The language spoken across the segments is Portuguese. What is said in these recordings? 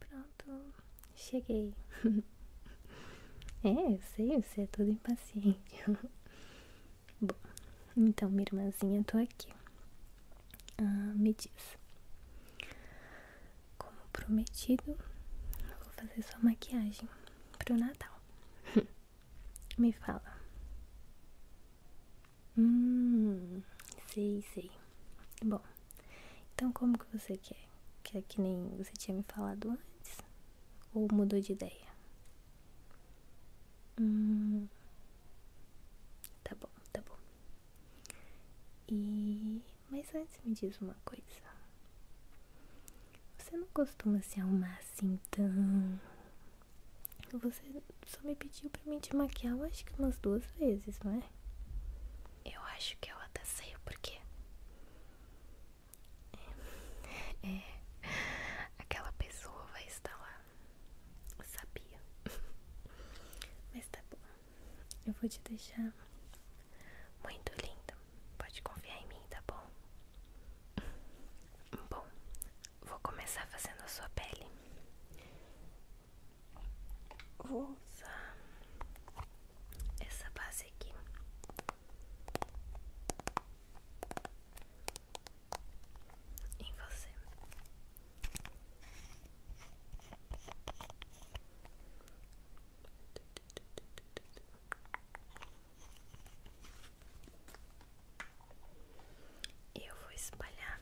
Pronto, cheguei. é, eu sei, você é todo impaciente. Bom, então, minha irmãzinha, eu tô aqui. Ah, me diz. Como prometido, vou fazer sua maquiagem pro Natal. me fala. Hum, sei, sei. Bom, então como que você quer? Quer que nem você tinha me falado antes? Ou mudou de ideia? Hum, tá bom, tá bom. E. Mas antes me diz uma coisa. Você não costuma se arrumar assim tão. Você só me pediu pra me maquiar, acho que umas duas vezes, não é? Eu acho que eu até sei porque É, é, aquela pessoa vai estar lá. sabia. Mas tá bom. Eu vou te deixar muito linda. Pode confiar em mim, tá bom? Bom, vou começar fazendo a sua pele. Vou usar essa base aqui. Em você. E eu vou espalhar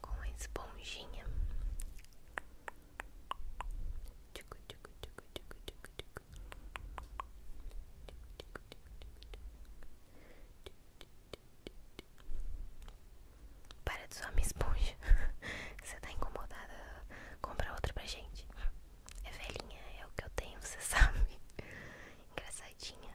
com uma esponjinha. Para de usar minha esponja. Você tá incomodada? Compra outra pra gente. É velhinha, é o que eu tenho, você sabe. Engraçadinha.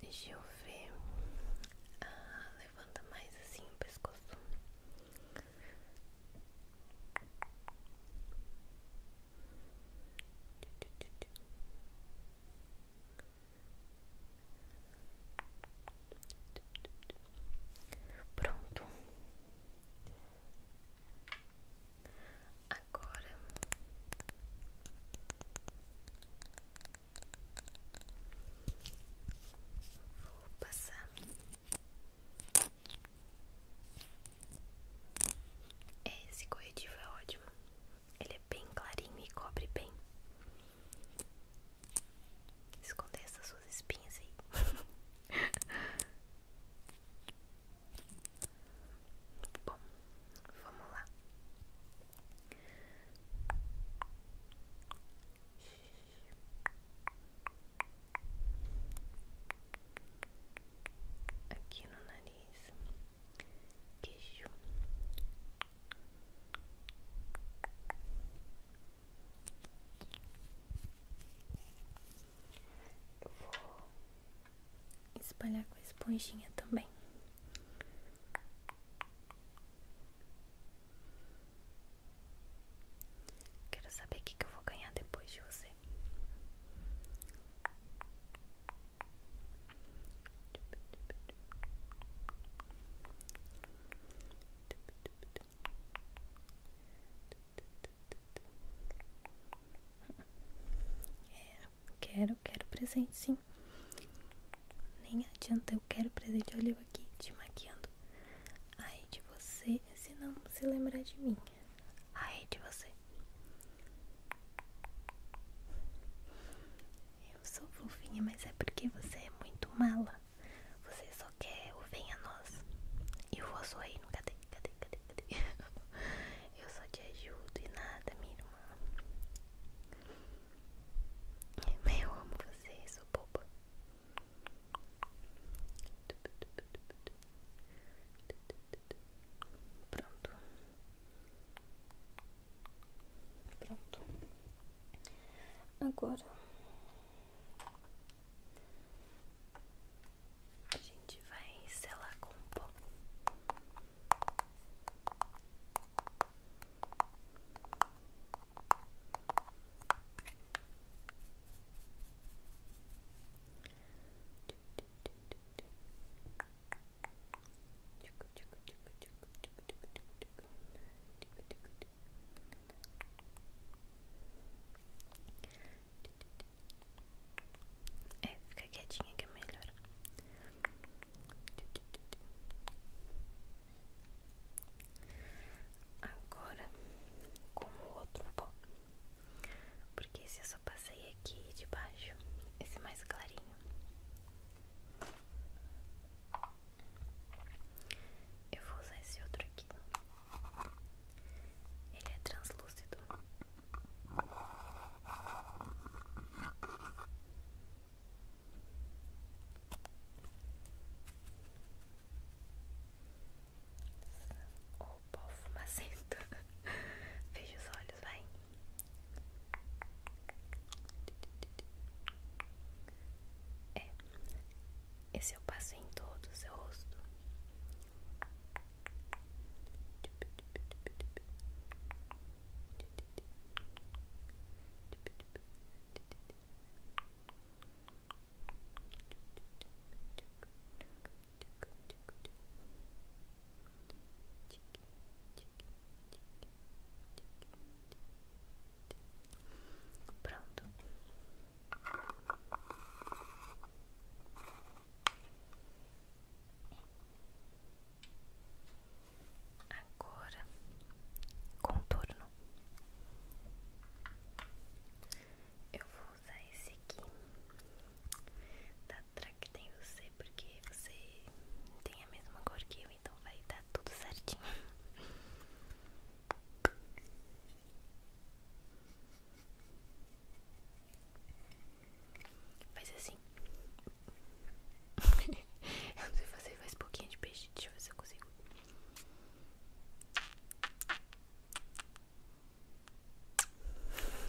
Deixa eu ver. Ah, levanta mais assim o pescoço. Pronto. Agora vou passar é, esse corretivo é ótimo, ele é bem clarinho e cobre bem. Esconder essas suas espinhas aí. Bom, vamos lá. Aqui no nariz, queijo eu vou espalhar com a esponjinha também. Quero saber o que, que eu vou ganhar depois de você. É, quero, quero presente sim. Nem adianta, eu quero presente. Olha eu aqui te maquiando. Ai de você, se não se lembrar de mim. Ai de você. Eu sou fofinha, mas é porque você é muito mala. Você só quer o Vem a Nós E o vosso reino, cadê, cadê, cadê, cadê? Eu só te ajudo e nada, minha irmã Eu amo você, sou boba Pronto Pronto Agora a gente vai selar com pó. Tico, tico, tico, tico, tico, tico, tico, tico, tico, tico, tico, tico, tico, é, fica quietinha que é melhor. Agora com o outro pó, porque se eu só passei aqui de baixo, esse mais clarinho. Eu vou usar esse outro aqui. Ele é translúcido. O oh, pó fumacento. Fecha os olhos, vai. É, esse eu é passei em todo o seu rosto. Pronto. Agora contorno. Eu vou usar esse aqui da que tem você porque você tem a mesma cor que eu, então vai dar tá tudo certinho. Faz assim. eu não sei fazer, mais pouquinho de peixe. Deixa eu ver se eu consigo.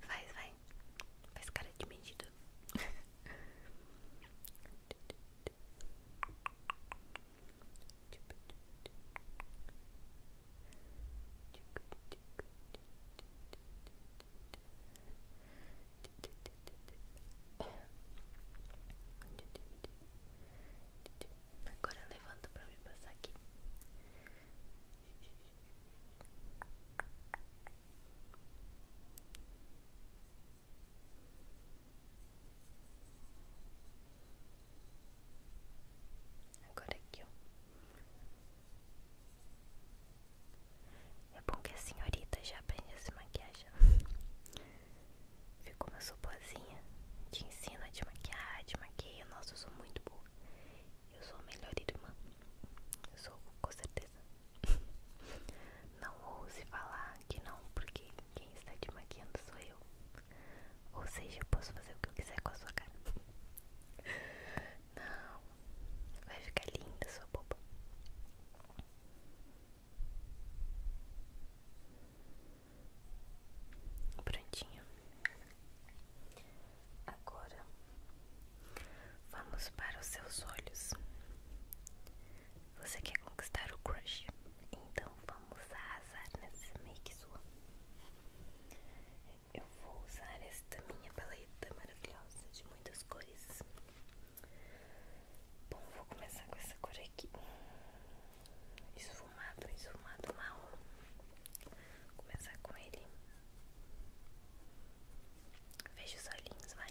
faz, vai. Faz cara de medido. Agora levanta para me passar aqui. Agora aqui, ó. É bom que a senhorita já aprende a se maquiar já. Ficou uma sopozinha. Te ensina a te maquiar, a te maquia. Nossa, eu sou muito boa. Eu sou a melhor irmã. Eu sou, com certeza, não ouse falar que não, porque quem está te maquiando sou eu. Ou seja, eu posso fazer o que eu quiser com a sua cara. Não, vai ficar linda sua boba. Prontinho. Agora vamos para os seus olhos. Você quer conquistar o crush? Então vamos arrasar nessa make sua. Eu vou usar esta minha paleta maravilhosa de muitas cores. Bom, vou começar com essa cor aqui. Esfumado, esfumado marrom. Vou começar com ele. Veja os olhinhos, vai.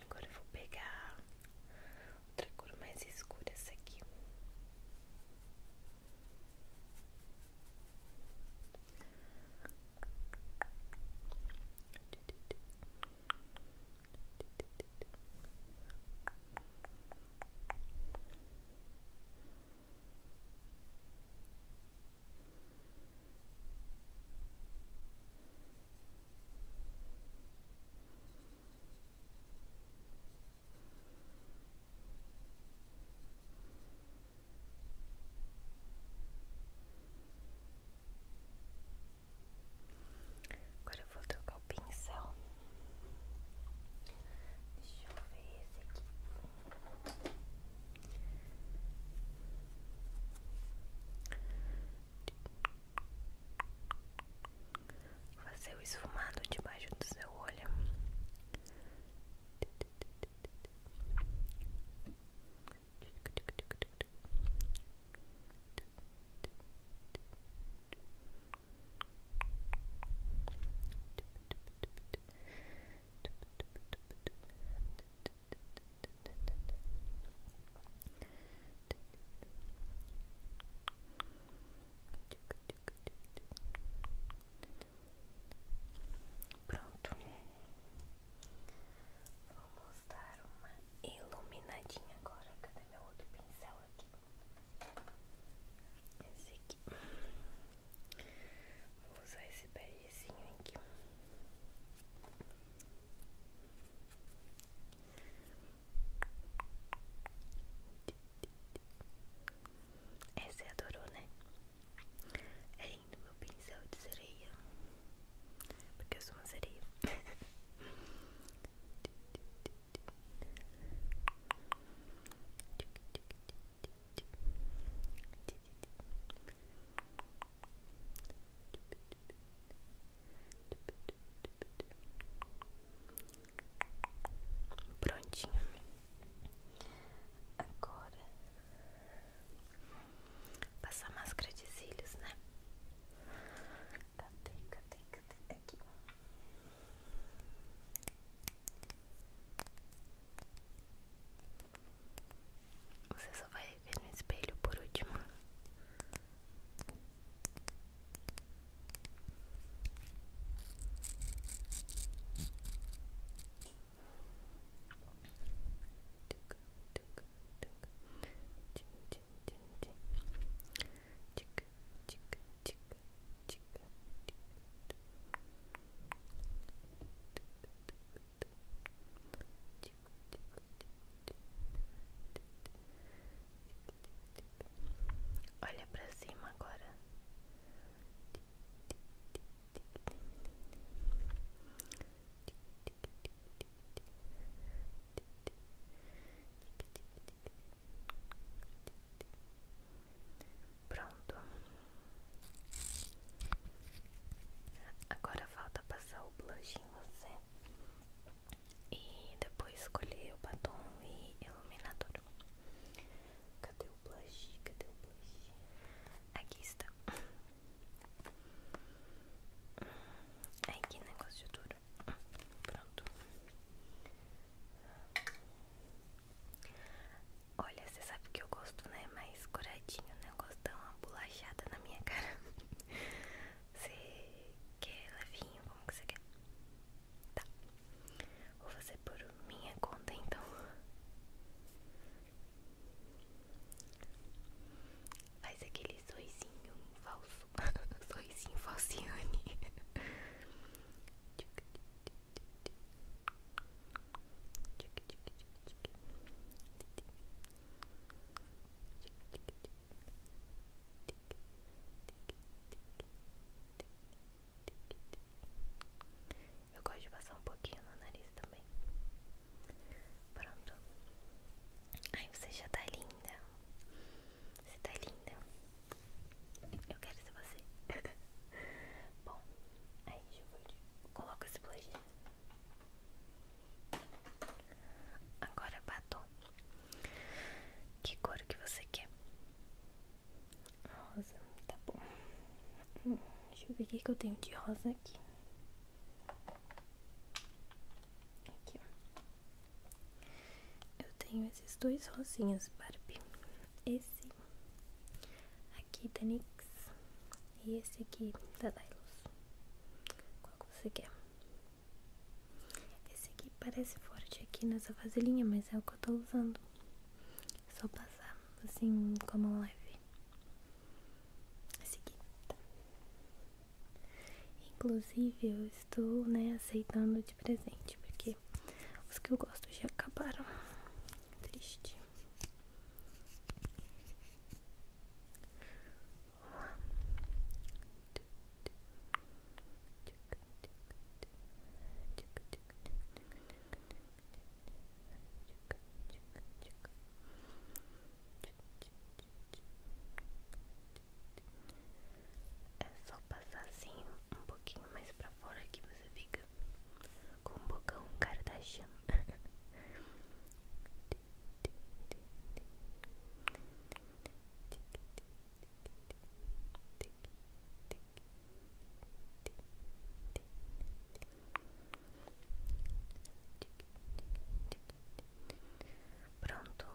Agora eu vou pegar outra cor mais escura, essa aqui. Agora vou trocar o pincel. Deixa eu ver esse aqui. Fazer o esfumado debaixo do seu olho. Pronto, vamos dar uma iluminadinha agora. Cadê meu outro pincel aqui? Esse aqui. Vou usar esse berezinho aqui. Esse é adorou, né? É lindo meu pincel de sereia. Porque eu sou uma sereia. Prontinho. Agora passar máscara de cílios, né? Cadê, cadê, cadê? Aqui. Você só vai ver no espelho por último. Tic, tic, tic, tic, tic, Olha pra cima agora. Pronto. Agora falta passar o blush em você. E depois escolher o batom e iluminador. Cadê o blush? Cadê o blush? Aqui está. Ai, que negócio duro. Pronto. Olha, você sabe que eu gosto, né? Mais coradinho, né? Eu gosto de dar uma bolachada na minha cara. Você quer levinho? Como você quer? Tá. Vou fazer por minha conta, então. Faz aquele sorrisinho falso. sorrisinho falsiane. Eu gosto de passar um pouquinho no nariz também. Pronto. Ai, você já tá linda. Você tá linda. Eu quero ser você. Bom, aí é deixa eu coloco esse blush. Agora batom. Que cor que você quer? Rosa, tá bom. Hum, deixa eu ver o que eu tenho de rosa aqui. Aqui, ó. Eu tenho esses dois rosinhas, Barbie. Esse Aqui da NYX e esse aqui da Dylos. Qual que você quer? Esse aqui parece forte aqui nessa vasilhinha, mas é o que eu tô usando. É só passar assim como a mão leve. Esse aqui. Inclusive eu estou né, aceitando de presente, porque os que eu gosto já acabaram. Triste. É só passar assim um pouquinho mais pra fora que você fica com um bocão Kardashian. Tá Pronto,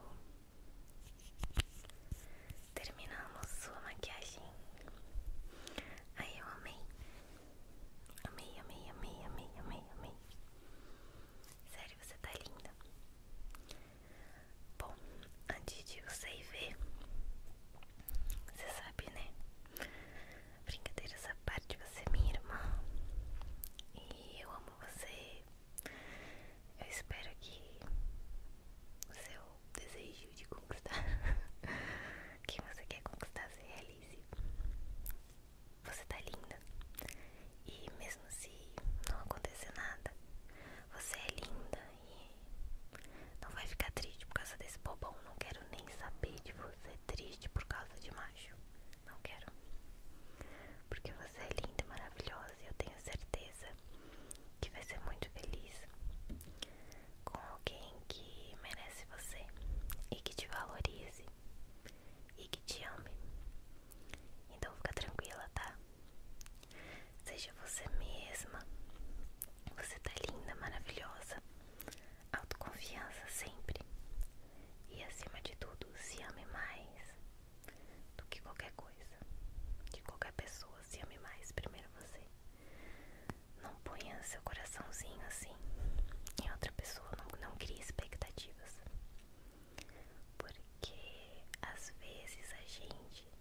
Terminamos sua maquiagem. Aí eu amei. Amei, amei, amei, amei, amei, Sério, você tá linda. Bom, antes de você ir ver, você sabe, né? Brincadeira essa parte, você é minha irmã. E eu amo você. Eu espero que seu qual desejo de conquistar. Quem você quer conquistar, se realize. Você tá linda. E mesmo se não acontecer nada, você é linda e não vai ficar triste por causa desse bobão. Não quero nem saber de você triste por causa de macho. Não quero. Porque você é linda e maravilhosa e eu tenho certeza que vai ser muito feliz com alguém que merece você e que te valorize e que te ame. Então fica tranquila, tá? Seja você mesma. Você tá linda, maravilhosa. Autoconfiança sempre. E acima de tudo, se ame mais do que qualquer coisa, de qualquer pessoa pessoas ame mais primeiro você. Não ponha seu coraçãozinho assim em outra pessoa, não, não crie expectativas. Porque às vezes a gente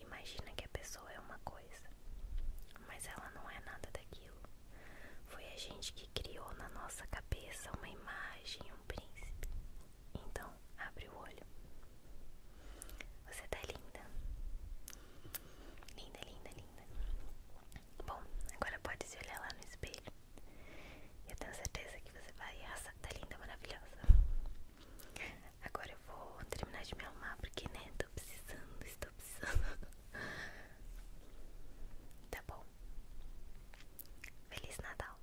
imagina que a pessoa é uma coisa, mas ela não é nada daquilo. Foi a gente que criou na nossa cabeça uma imagem, um príncipe. Então, abre o olho. Você tá linda. Linda, linda, linda. Bom, agora pode se olhar lá no espelho. Eu tenho certeza que você vai arrasar. Tá linda, maravilhosa. Agora eu vou terminar de me arrumar porque, né? Tô precisando, estou precisando. Tá bom. Feliz Natal.